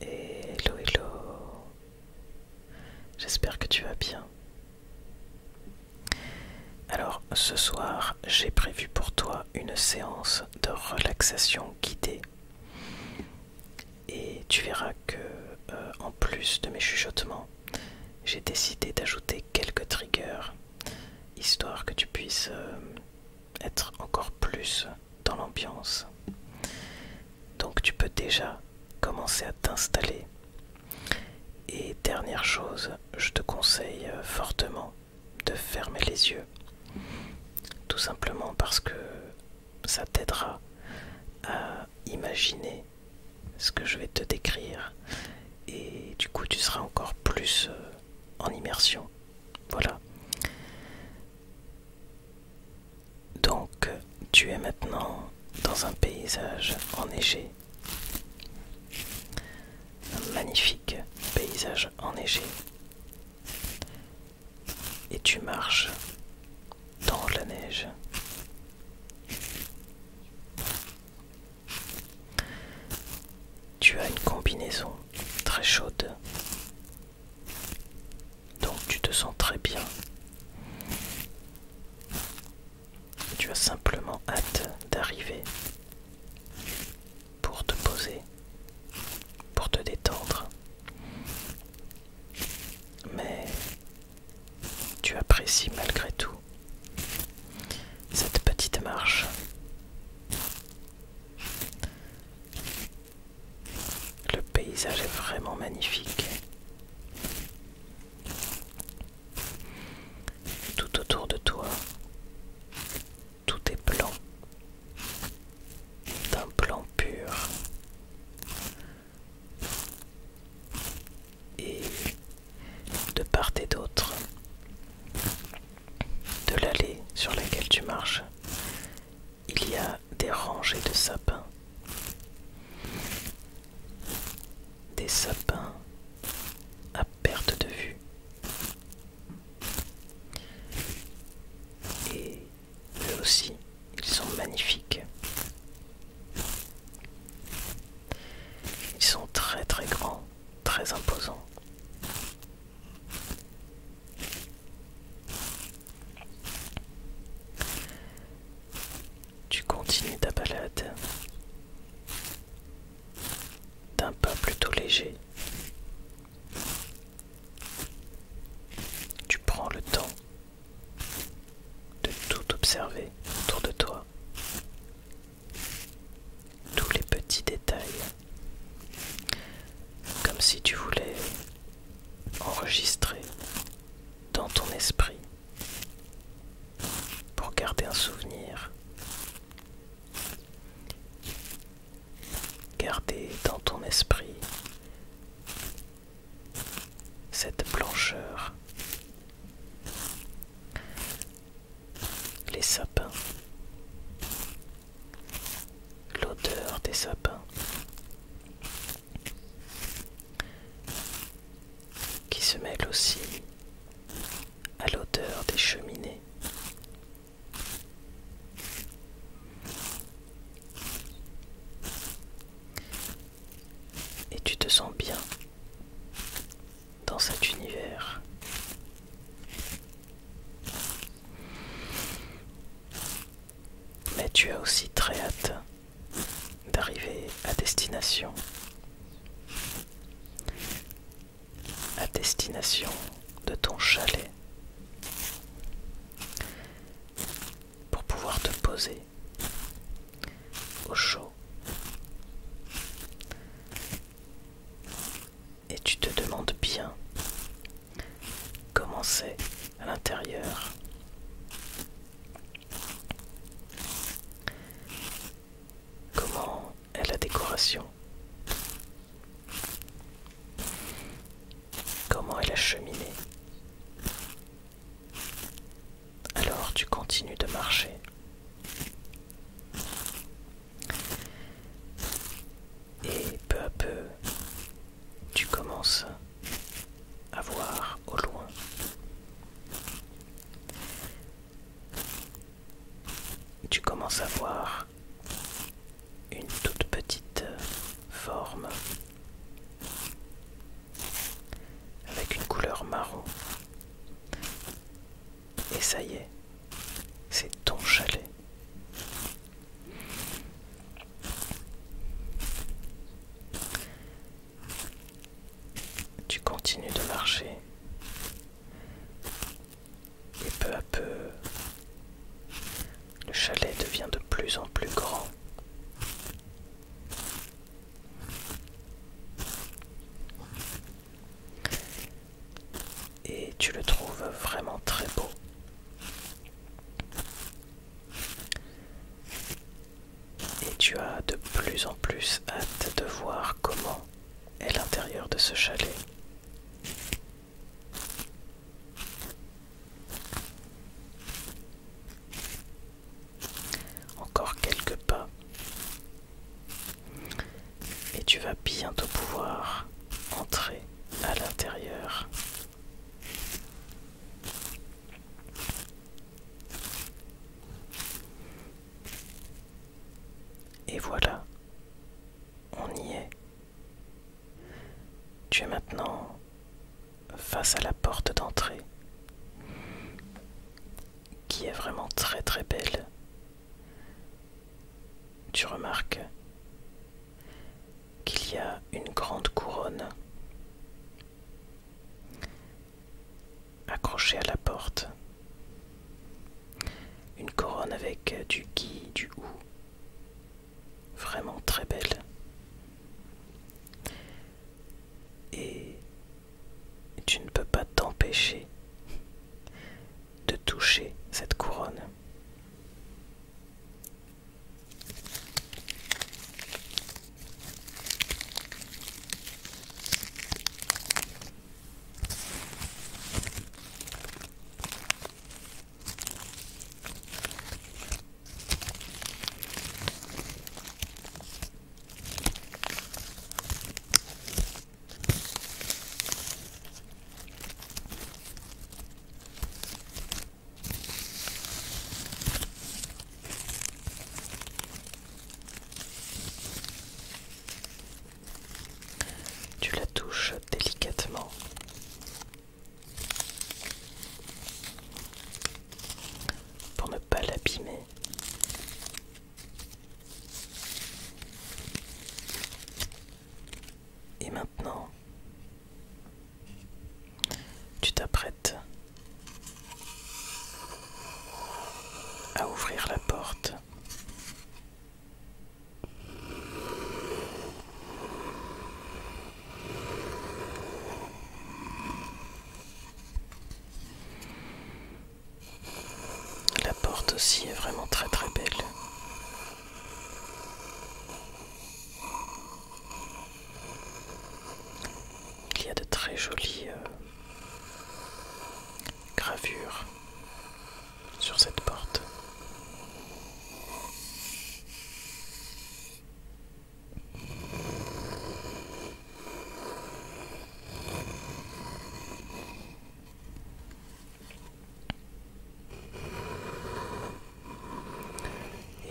Hello, hello. J'espère que tu vas bien. Alors, ce soir, j'ai prévu pour toi une séance de relaxation guidée. Et tu verras que, euh, en plus de mes chuchotements, j'ai décidé d'ajouter quelques triggers, histoire que tu puisses euh, être encore plus dans l'ambiance. Donc tu peux déjà commencer à t'installer. Et dernière chose, je te conseille euh, fortement de fermer les yeux. Tout simplement parce que ça t'aidera à imaginer ce que je vais te décrire. Et du coup, tu seras encore plus euh, en immersion. Voilà. Donc, tu es maintenant dans un paysage enneigé. Un magnifique paysage enneigé. Et tu marches dans la neige tu as une combinaison très chaude. Donc tu te sens très bien. Tu as simplement hâte d'arriver pour te poser, pour te détendre. Mais tu apprécies malgré tout cette petite marche le paysage est vraiment magnifique. Tout autour de toi, tout est blanc, d'un blanc pur. Et de part et d'autre, de l'allée sur laquelle tu marches, il y a des rangées de sapins. Des sapins à perte de vue. Et eux aussi, ils sont magnifiques. Ils sont très très grands, très imposants. Tu continues ta balade d'un pas plutôt léger. Tu prends le temps de tout observer autour de toi. Tous les petits détails comme si tu voulais enregistrer dans ton esprit pour garder un souvenir. Garder dans ton esprit cette blancheur les sapins, l'odeur des sapins qui se mêle aussi à l'odeur des cheminées. Et tu te sens bien dans cet univers. Mais tu as aussi très hâte d'arriver à destination. À destination de ton chalet. Pour pouvoir te poser au chaud et tu te demandes bien comment c'est à l'intérieur. Comment est la décoration Comment est la cheminée Alors tu continues de marcher. Et peu à peu, tu commences à voir au loin. Tu commences à voir une toute petite forme avec une couleur marron et ça y est, c'est ton chalet. Tu continues de marcher et peu à peu, le chalet devient de plus en plus grand. Et tu le trouves vraiment très beau. Et tu as de plus en plus hâte de voir comment est l'intérieur de ce chalet. Encore quelques pas et tu vas bientôt pouvoir entrer à l'intérieur. Et voilà, on y est. Tu es maintenant face à la porte d'entrée, qui est vraiment très très belle tu remarques qu'il y a une grande couronne accrochée à la porte. Une couronne avec du gui, du ou. Vraiment très belle tu ne peux pas t'empêcher de toucher cette couronne. Tu la touches délicatement. Pour ne pas l'abîmer, et maintenant, tu t'apprêtes à ouvrir la porte. La porte aussi est vraiment très très belle. Il y a de très jolies euh, gravures sur cette porte.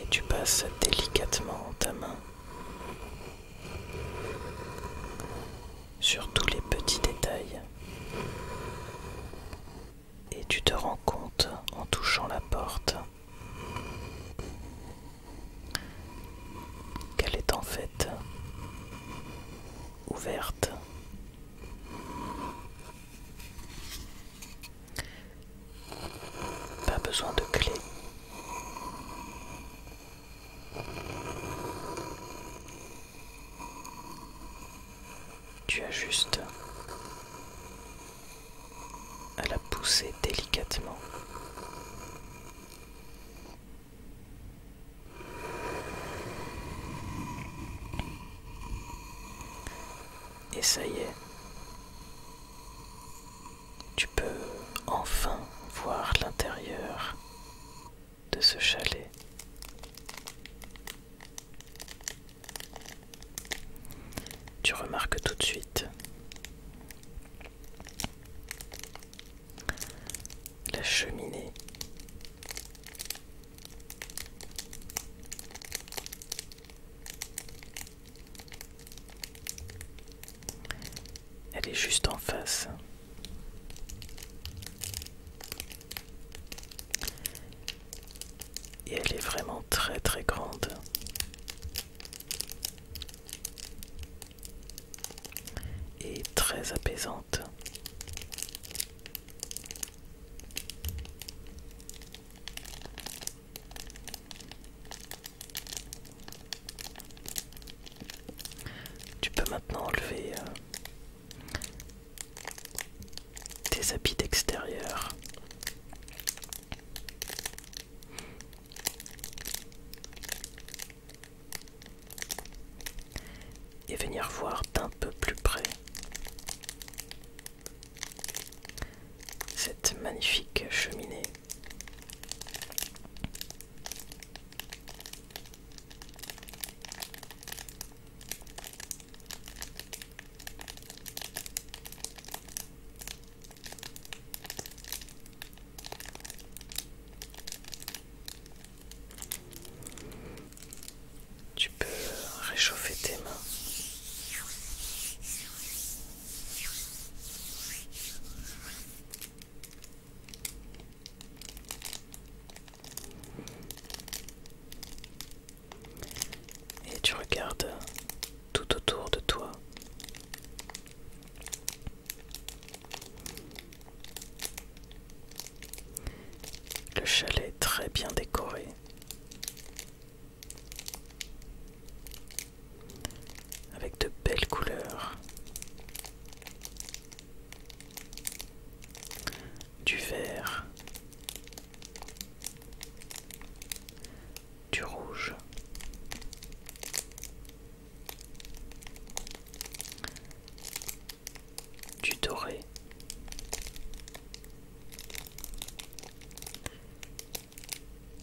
Et tu passes délicatement ta main sur tous les petits détails. Et tu te rends compte en touchant la porte qu'elle est en fait ouverte. Pas besoin de clé. Tu as juste à la pousser délicatement et ça y est, tu peux enfin voir l'intérieur de ce chalet. Tu remarques tout de suite la cheminée. Elle est juste en face. Et elle est vraiment très très grande et très apaisante. Tu peux maintenant enlever euh, tes habits d'extérieur et venir voir d'un peu plus près cette magnifique cheminée. Tu peux réchauffer tes mains. Et tu regardes tout autour de toi. Le chalet très bien décoré. Avec de belles couleurs. Du vert. Du rouge du doré,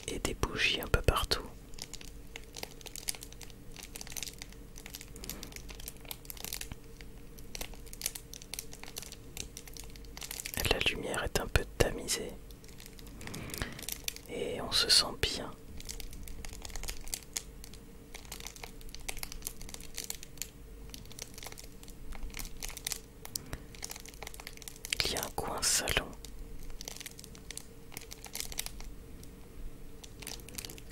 et des bougies un peu partout. La lumière est un peu tamisée et on se sent bien. Il y a un coin salon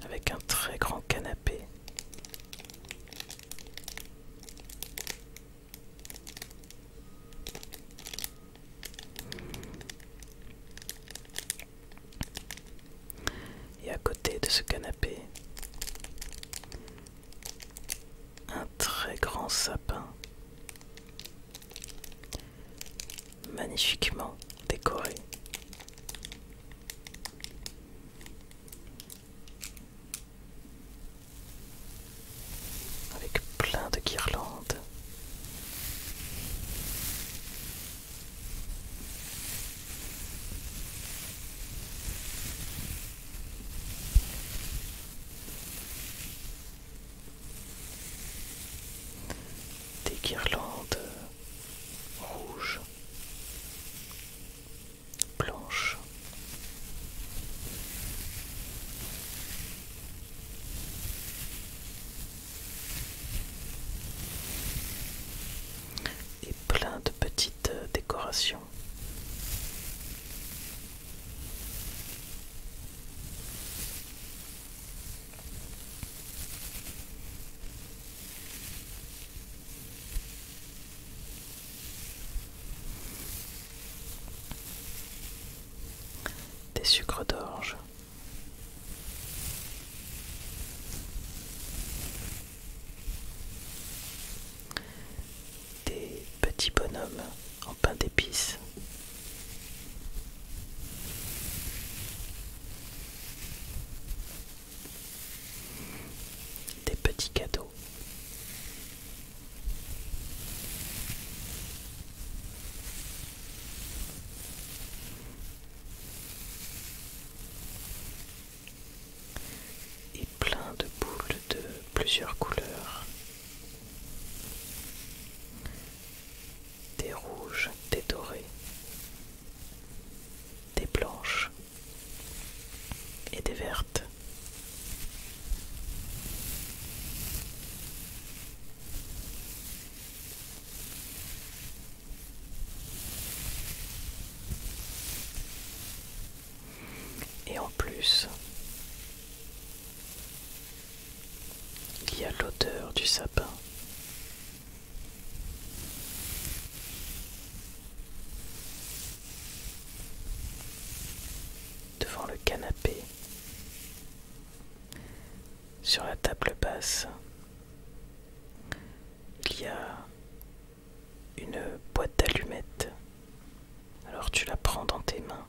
avec un très grand canapé. Et à côté de ce canapé, un très grand sapin, magnifiquement décoré. Avec plein de guirlandes des guirlandes rouges, blanches et plein de petites euh, décorations. Des sucres d'orge. Des petits bonhommes en pain d'épices. Des petits cadeaux et plein de boules de plusieurs couleurs, des rouges, des dorés, des blanches et des vertes. Et en plus, il y a l'odeur du sapin. Devant le canapé, sur la table basse, il y a une boîte d'allumettes. Alors tu la prends dans tes mains.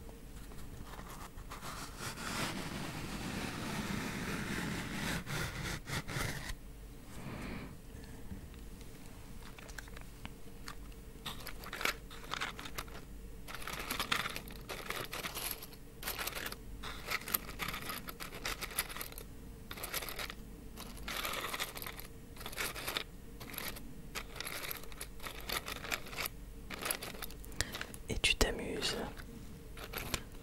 Et tu t'amuses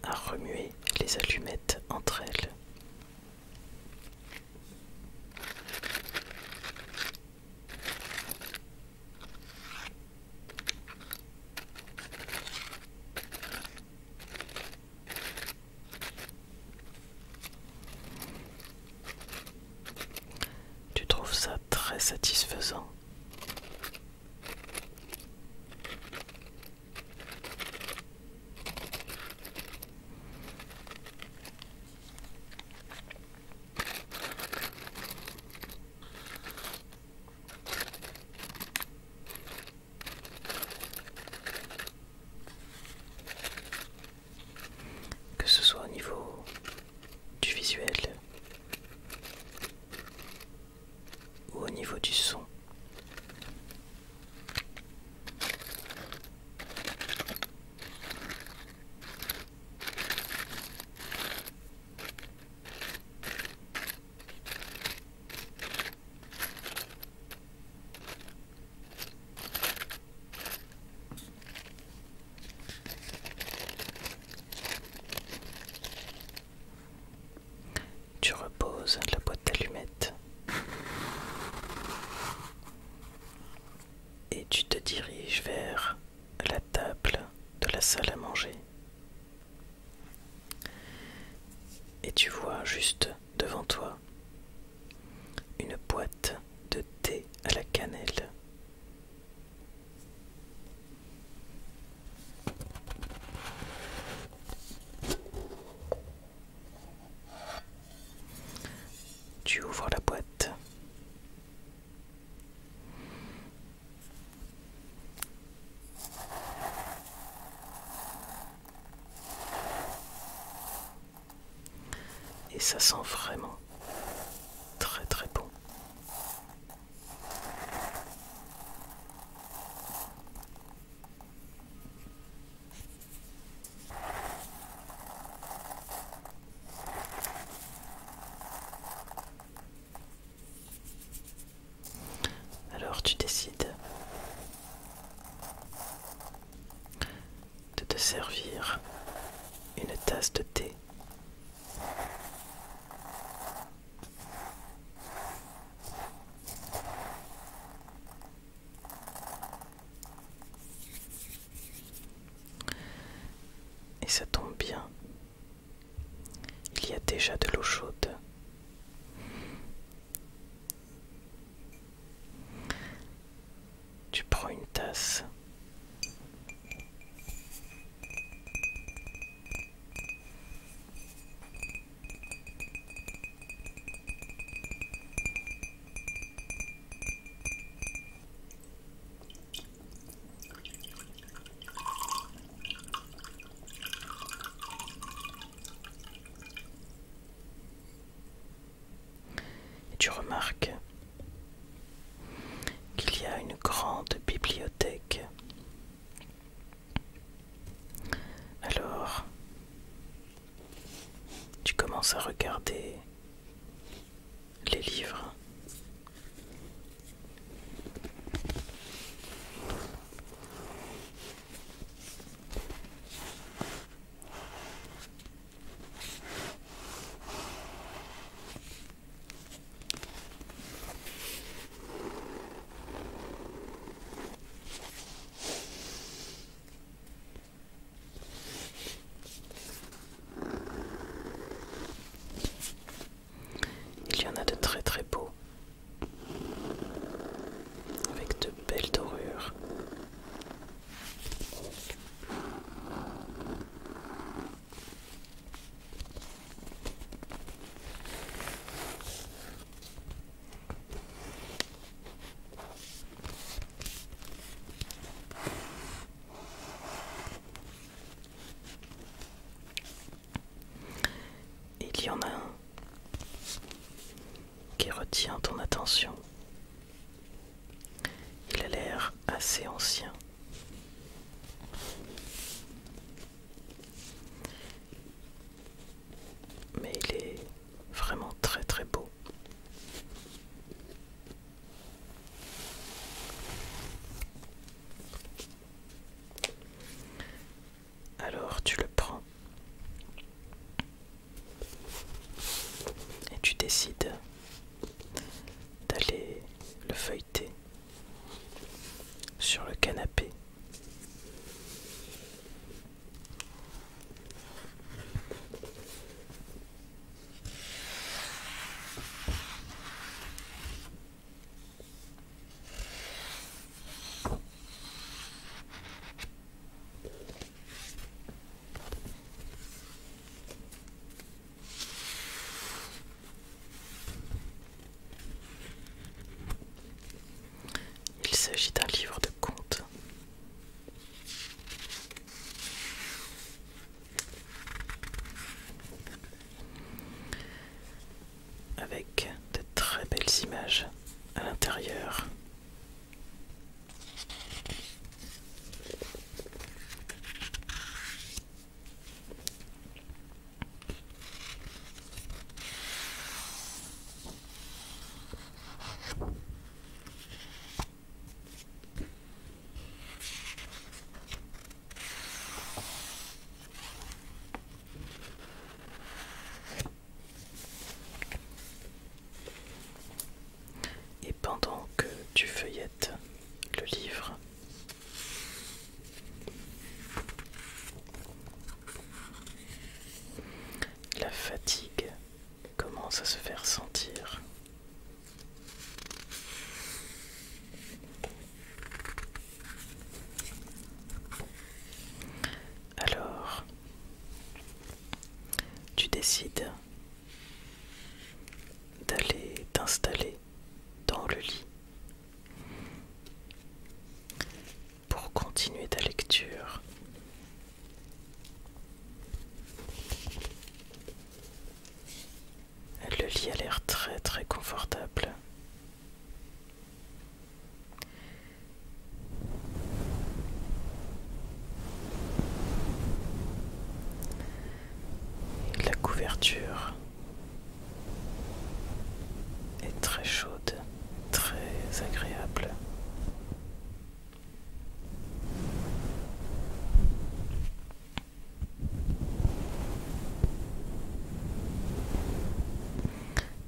à remuer les allumettes entre elles. Tu trouves ça très satisfaisant que ce soit au niveau du visuel ou au niveau du son. Tu reposes la boîte d'allumettes et tu te diriges vers la table de la salle à manger. Et tu vois juste devant toi une boîte de thé à la cannelle. Tu ouvres la boîte et ça sent vraiment très très bon. Alors tu décides de te servir une tasse de thé. Et ça tombe bien. Il y a déjà de l'eau chaude. Tu prends une tasse tu remarques qu'il y a une grande bibliothèque. Alors, tu commences à regarder les livres. Il y en a de très très beaux, avec de belles dorures. Il y en a un qui retient ton attention. Il a l'air assez ancien. Mais il est vraiment très très beau. Alors tu le prends et tu décides d'aller le feuilleter sur le canapé. Il s'agit d'un livre de contes avec de très belles images à l'intérieur. Et pendant que tu feuillettes le livre, la fatigue commence à se faire sentir alors, tu décides d'aller t'installer dans le lit pour continuer ta lecture le lit a l'air très très confortable. La couverture est très chaude, très agréable.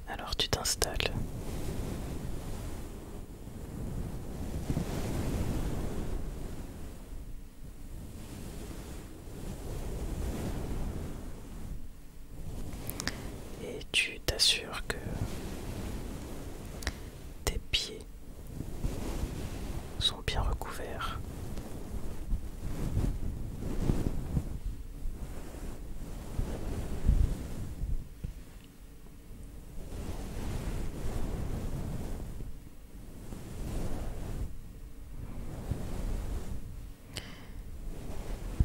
Alors tu t'installes. Et tu t'assures que tes pieds sont bien recouverts.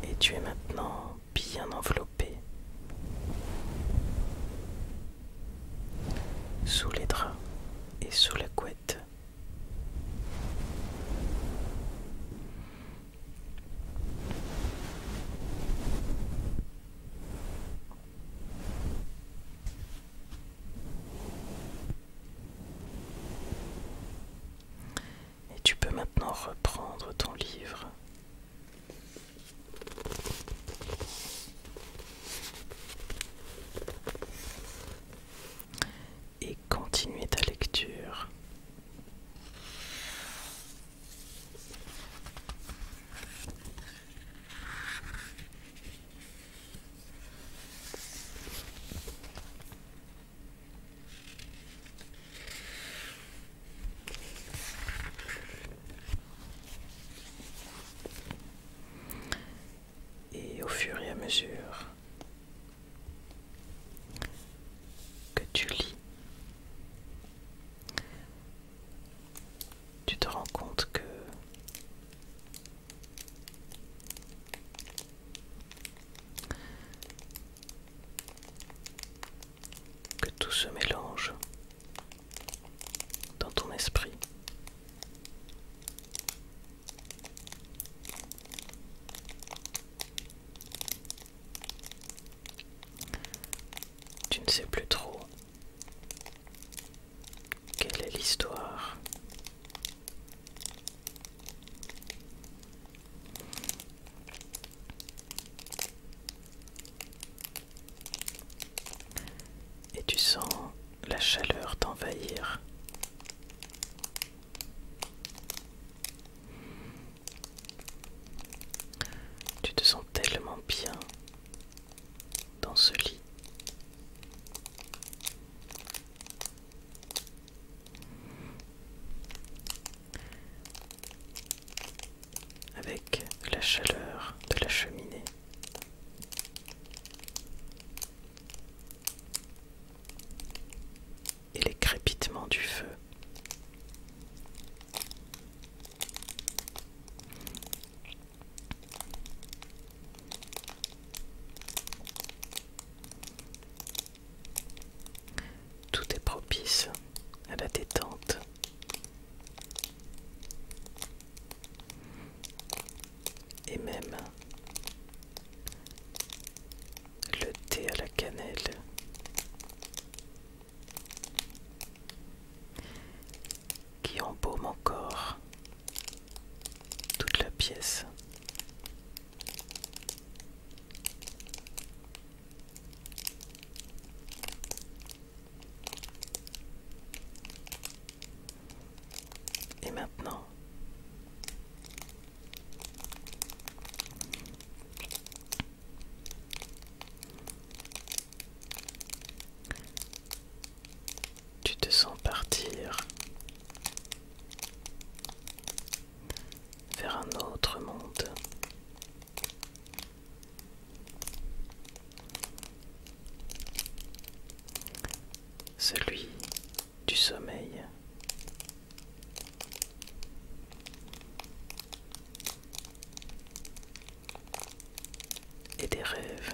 Et tu es maintenant bien enveloppé sous les draps et sous la couette. Et tu peux maintenant reprendre ton livre et continuez ta lecture. Et au fur et à mesure que tu lis, tu te rends compte que que tout se mélange dans ton esprit. Tu ne sais plus trop quelle est l'histoire. Et tu sens la chaleur t'envahir. Tu te sens tellement bien dans ce lit avec la chaleur de la cheminée. Et les crépitements du feu. Tout est propice à la détente. Et même le thé à la cannelle. Qui embaume encore toute la pièce. Et maintenant, tu te sens partir vers un autre monde celui du sommeil. Et des rêves.